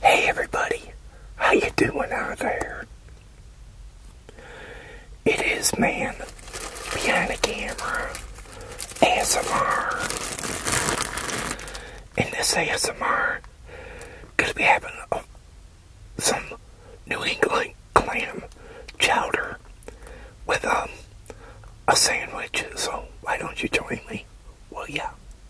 Hey everybody, how you doing out there? It is man behind the camera, ASMR, and this ASMR gonna be having uh, some New England clam chowder with um a sandwich. So why don't you join me? Well, yeah.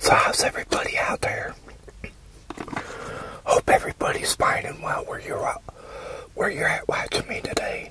So how's everybody out there? Hope everybody's fine and well where you're at, where you're at watching me today.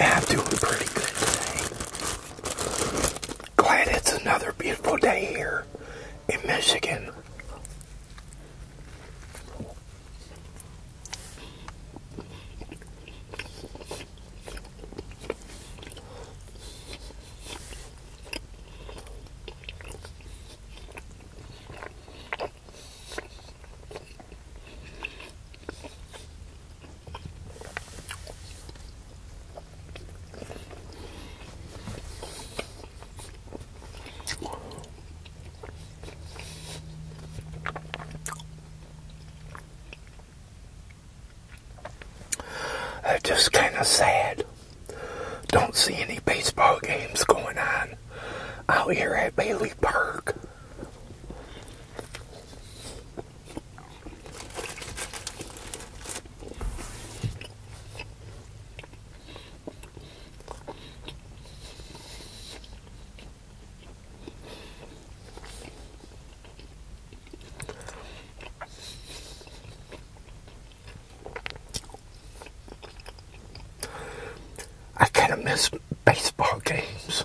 I'm doing pretty good today. Glad it's another beautiful day here in Michigan. That's just kind of sad. Don't see any baseball games going on out here at Bailey Park. I kind of miss baseball games.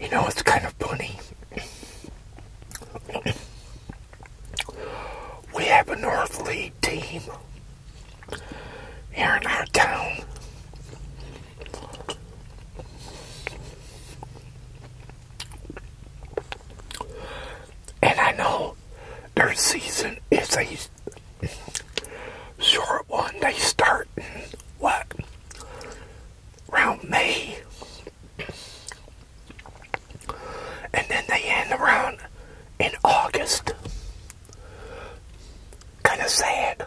You know, it's kind of funny. we have a North League team here in our town. And I know their season is a short one. They start what around May. And then they end around in August. Kind of sad.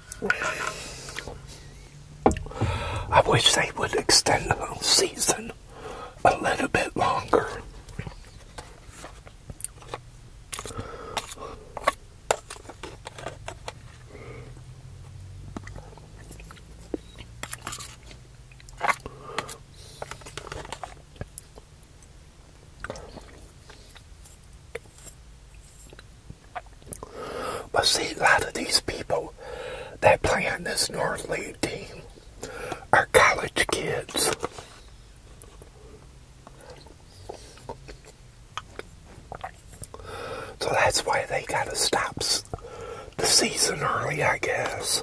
I wish they would extend the season a little bit longer. But see, a lot of these people that play on this North League team are college kids. So that's why they kind of stop the season early, I guess.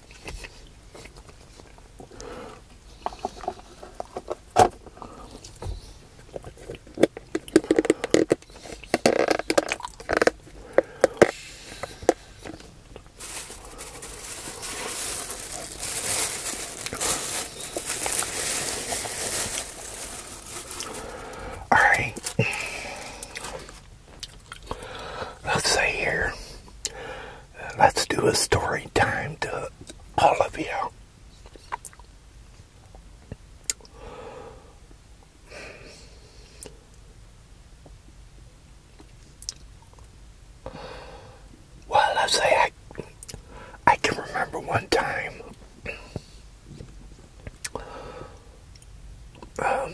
All right. Let's see here let's do a story time to all of you. Well, let say I, I can remember one time um,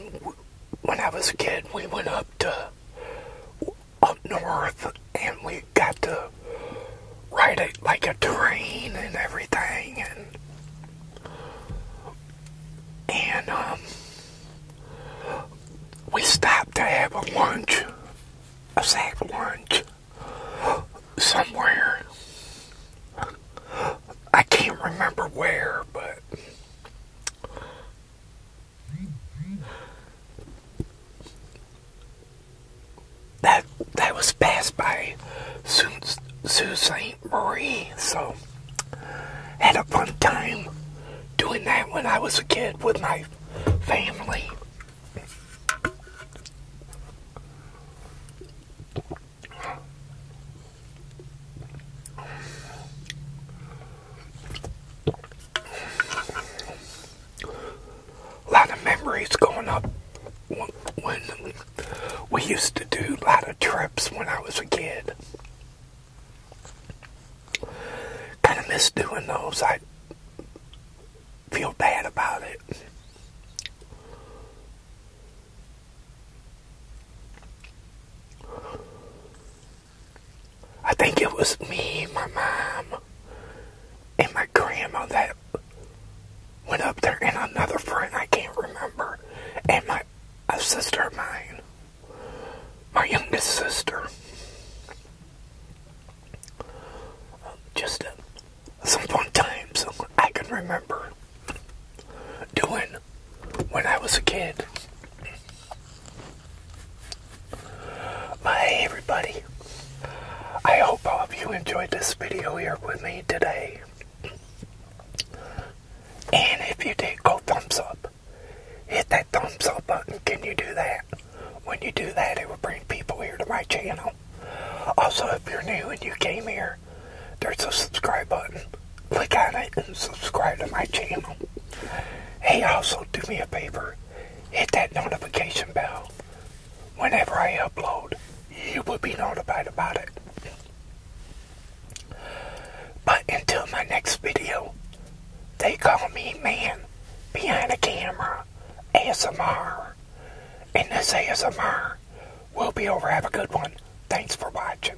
when I was a kid, we went up to up north and we got to ride it like a train and everything and and um, we stopped to have a lunch a sack lunch somewhere I can't remember where but that that was passed by Sault Ste. Marie, so had a fun time doing that when I was a kid with my family. A lot of memories going up when we used to do a lot of trips when I was a kid. Kind of miss doing those. I feel bad about it. I think it was me, my mom, and my grandma that went up there, and another friend I can't remember, and my a sister of mine, my youngest sister. Just uh, some fun times I can remember doing when I was a kid. Well, everybody, I hope all of you enjoyed this video here with me today. And if you did, go thumbs up. Hit that thumbs up button. Can you do that? When you do that, it will bring people here to my channel. Also, if you're new and you came here, there's a subscribe button click on it and subscribe to my channel. Hey, also do me a favor, hit that notification bell. Whenever I upload, you will be notified about it. But until my next video, they call me man behind the camera, ASMR. And this ASMR will be over. Have a good one. Thanks for watching.